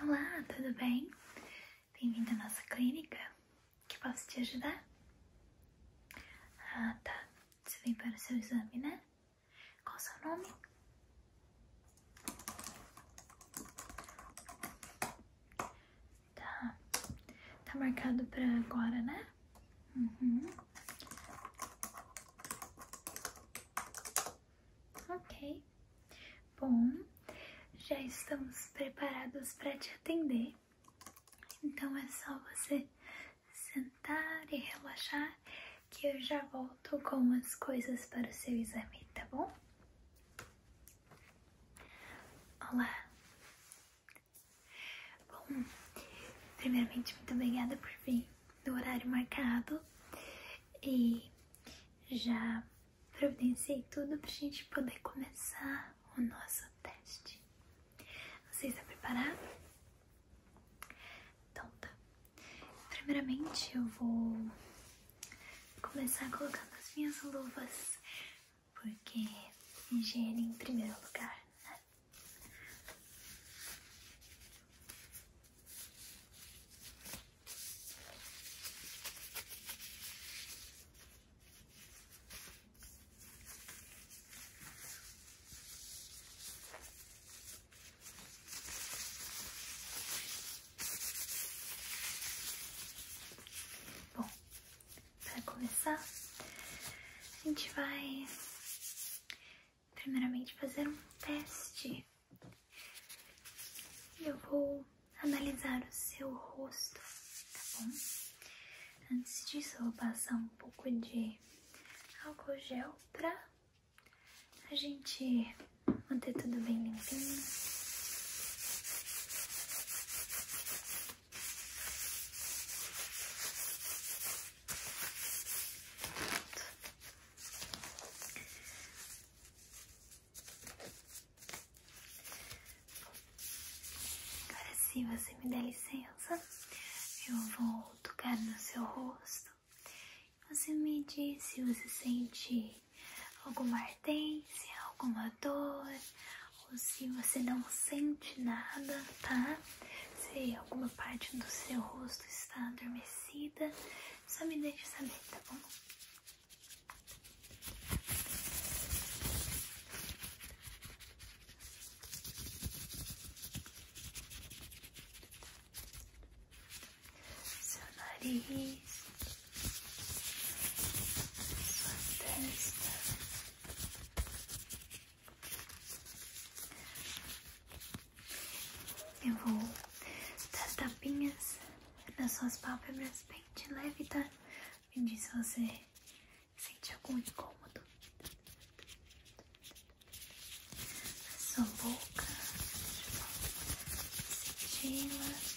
Olá, tudo bem? Bem-vindo à nossa clínica. Que posso te ajudar? Ah, tá. Você vem para o seu exame, né? Qual o seu nome? Tá. Tá marcado para agora, né? Uhum. Ok. Bom, já estamos preparados para te atender. Então é só você sentar e relaxar que eu já volto com as coisas para o seu exame, tá bom? Olá. Bom, primeiramente muito obrigada por vir do horário marcado e já providenciei tudo pra gente poder começar o nosso teste. Vocês está preparado? Então tá. Primeiramente eu vou começar colocando as minhas luvas, porque higiene em primeiro lugar, né? Bom, para começar, a gente vai primeiramente fazer um teste. Eu vou analisar o seu rosto, tá bom? Antes disso, eu vou passar um pouco de álcool gel para a gente manter tudo bem limpinho. Agora, se você me der licença, eu vou tocar no seu rosto. Você me diz se você sente alguma ardência, alguma dor, ou se você não sente nada, tá? se alguma parte do seu rosto está adormecida, só me deixe saber, tá bom? Seu nariz, sua testa, eu vou dar tapinhas nas suas pálpebras bem de leve, tá? Me diz se você sentir algum incômodo. A sua boca, senti-la.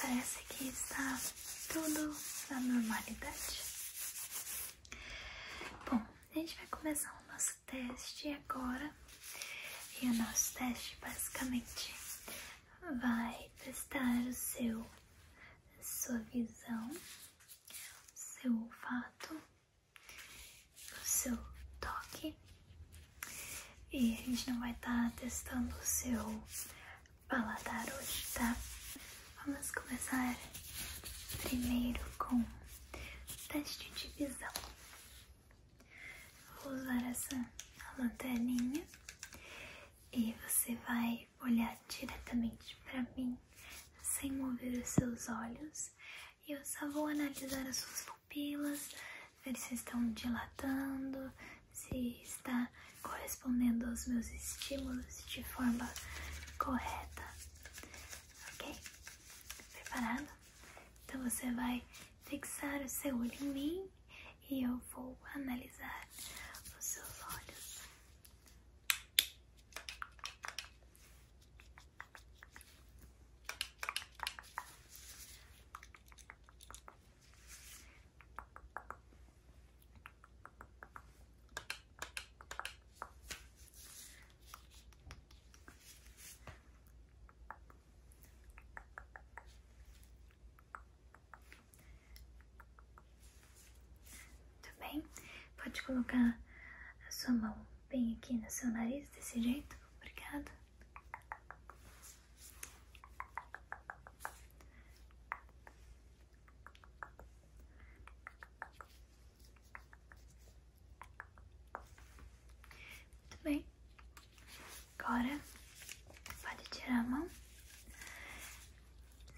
Parece que está tudo na normalidade. Bom, a gente vai começar o nosso teste agora. E o nosso teste basicamente vai testar o seu sua visão, seu olfato, o seu toque. E a gente não vai estar tá testando o seu paladar hoje, tá? Vamos começar primeiro com um teste de visão. Vou usar essa lanterninha e você vai olhar diretamente para mim sem mover os seus olhos. E eu só vou analisar as suas pupilas, ver se estão dilatando, se está correspondendo aos meus estímulos de forma correta, ok? Preparado? Então você vai fixar o seu olho em mim e eu vou analisar os seus olhos. Muito bem, pode colocar a sua mão bem aqui no seu nariz desse jeito, obrigada. Muito bem. Agora pode tirar a mão.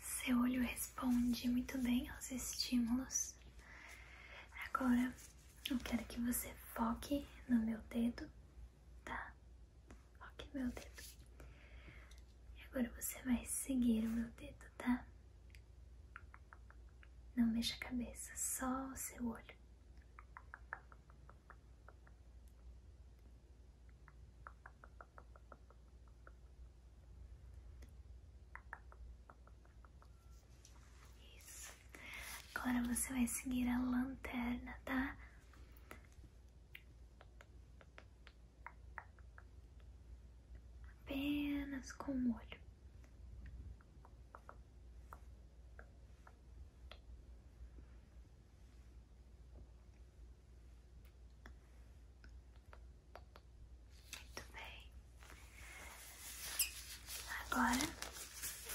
Seu olho responde muito bem aos estímulos. Agora eu quero que você foque no meu dedo tá? Ok, meu dedo. E agora você vai seguir o meu dedo, tá? Não mexa a cabeça, só o seu olho. Isso. Agora você vai seguir a lanterna, tá? apenas com o olho. Muito bem. Agora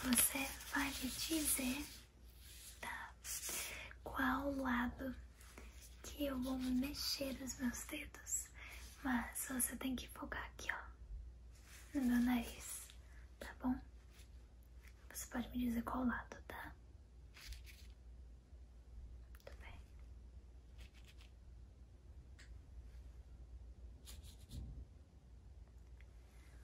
você vai me dizer. Tá. Qual lado que eu vou mexer os meus dedos? Mas você tem que focar aqui, ó, no meu nariz, tá bom? Você pode me dizer qual lado, tá? Muito bem.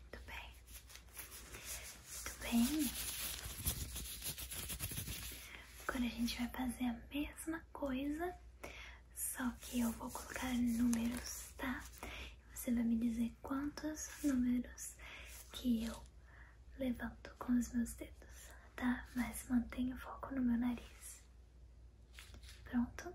Muito bem. Muito bem. Agora a gente vai fazer a mesma coisa, só que eu vou colocar números, tá? Você vai me dizer quantos números que eu levanto com os meus dedos, tá? Mas mantenha o foco no meu nariz. Pronto?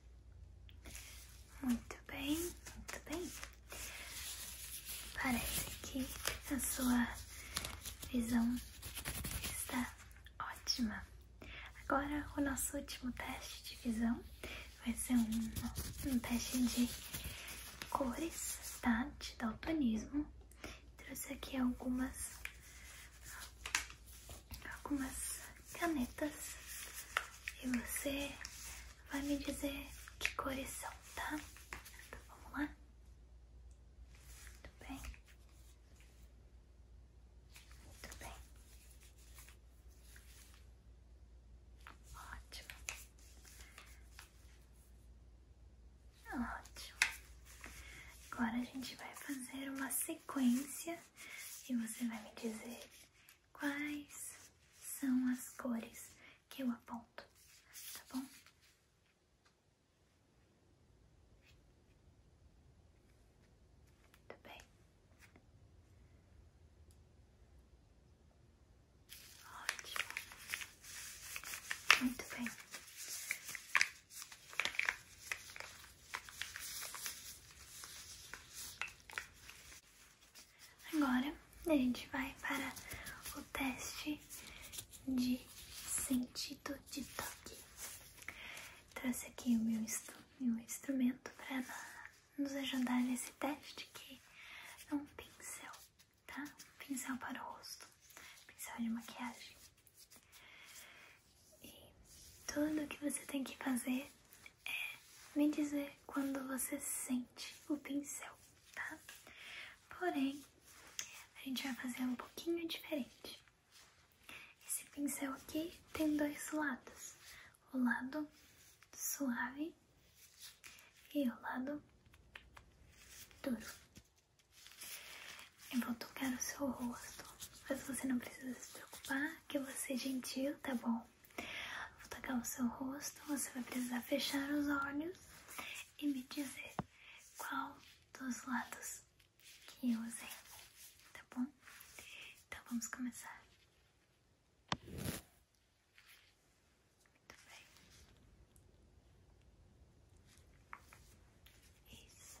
Muito bem, muito bem. Parece que a sua visão está ótima. Agora, o nosso último teste de visão vai ser um, um teste de cores, tá? De daltonismo. Trouxe aqui algumas, algumas canetas e você vai me dizer que cores são, tá? Então vamos lá? Muito bem. Muito bem. Ótimo. Ótimo. Agora a gente vai fazer uma sequência e você vai me dizer quais são as cores que eu aponto, tá bom? Muito bem. Ótimo. Muito bem. Agora a gente vai para o teste de sentido de toque. Trouxe aqui o meu, instrumento para nos ajudar nesse teste, que é um pincel, tá? Um pincel para o rosto, pincel de maquiagem. E tudo que você tem que fazer é me dizer quando você sente o pincel, tá? Porém, a gente vai fazer um pouquinho diferente. Esse pincel aqui tem dois lados: o lado suave e o lado duro. Eu vou tocar o seu rosto, mas você não precisa se preocupar, que eu vou ser gentil, tá bom? Vou tocar o seu rosto, você vai precisar fechar os olhos e me dizer qual dos lados que eu usei, tá bom? Então vamos começar. Muito bem. Isso.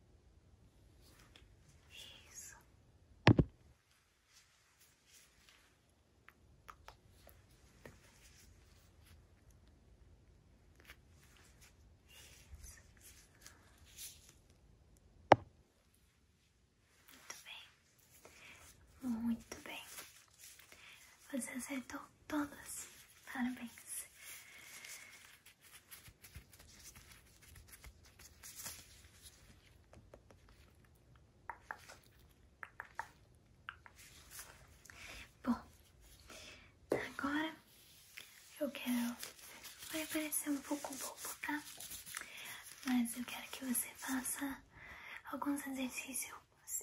Isso. Muito bem. Muito bem. Você acertou todas. Parabéns. Bom, agora eu quero. Vai parecer um pouco bobo, tá? Mas eu quero que você faça alguns exercícios,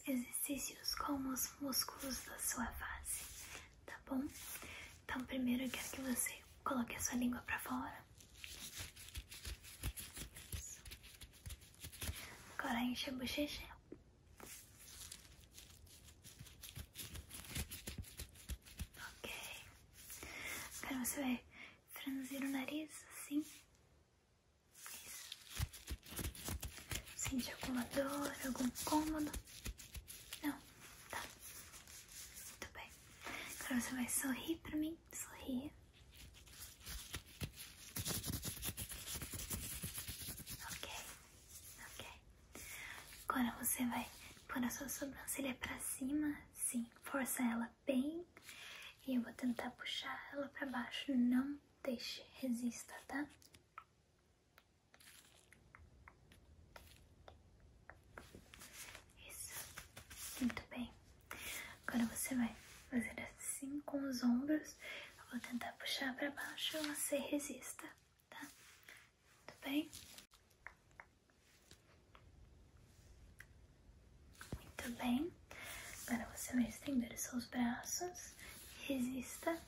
exercícios com os músculos da sua face, tá bom? Então, primeiro eu quero que você coloque a sua língua pra fora. Isso. Agora enche a bochecha. Ok. Agora você vai franzir o nariz assim. Isso. Sente alguma dor, algum cômodo? Não. Tá? Muito bem. Agora você vai sorrir pra mim. Sorria. Ok. Ok. Agora você vai pôr a sua sobrancelha pra cima. Sim. Força ela bem. E eu vou tentar puxar ela pra baixo. Não deixe. Resista, tá? Isso, muito bem. Agora você vai fazer assim com os ombros. Eu vou tentar puxar para baixo, você resista, tá? Muito bem. Muito bem. Agora você vai estender seus braços. Resista.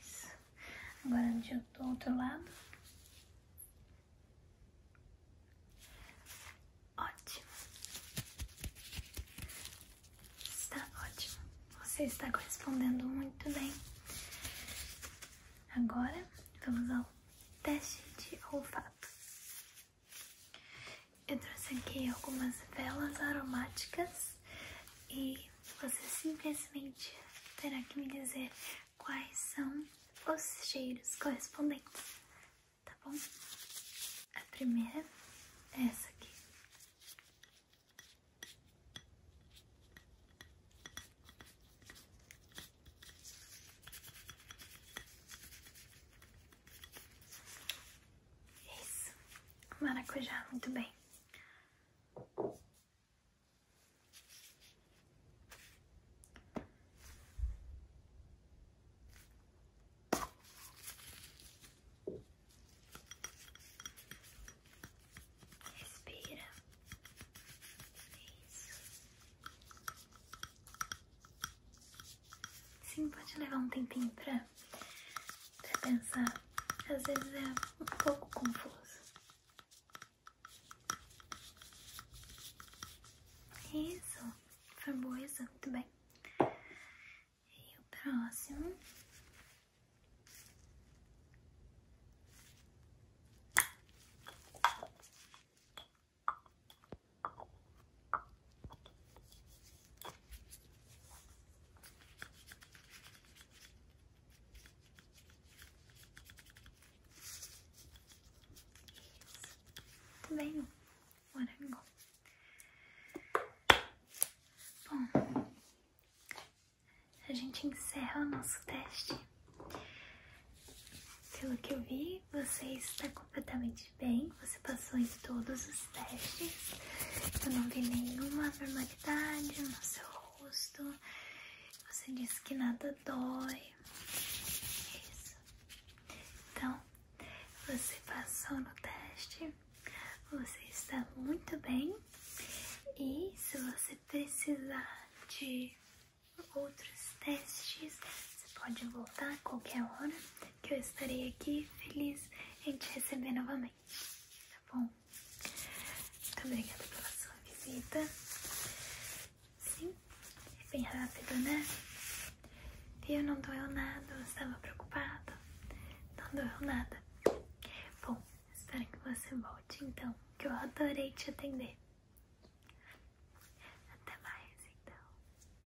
Isso. Agora eu tô outro lado. Ótimo. Está ótimo. Você está correspondendo muito bem. Agora vamos ao teste de olfato. Eu trouxe aqui algumas velas aromáticas e você simplesmente terá que me dizer quais são os cheiros correspondentes, tá bom? A primeira é essa aqui. Isso, maracujá, muito bem. Respira. Isso. Sim, pode levar um tempinho pra, pensar. Às vezes é um pouco confuso. Isso, foi boa, isso, muito bem. E o próximo. Também morango. Bom, a gente encerra o nosso teste. Pelo que eu vi, você está completamente bastante bem, você passou em todos os testes. Eu não vi nenhuma anormalidade no seu rosto. Você disse que nada dói. Isso. Então, você passou no teste. Você está muito bem. E se você precisar de outros testes, você pode voltar a qualquer hora que eu estarei aqui feliz em te receber novamente, tá bom? Muito obrigada pela sua visita. Sim, é bem rápido, né? Viu? Não doeu nada, eu estava preocupada. Não doeu nada. Bom, espero que você volte então, que eu adorei te atender. Até mais então.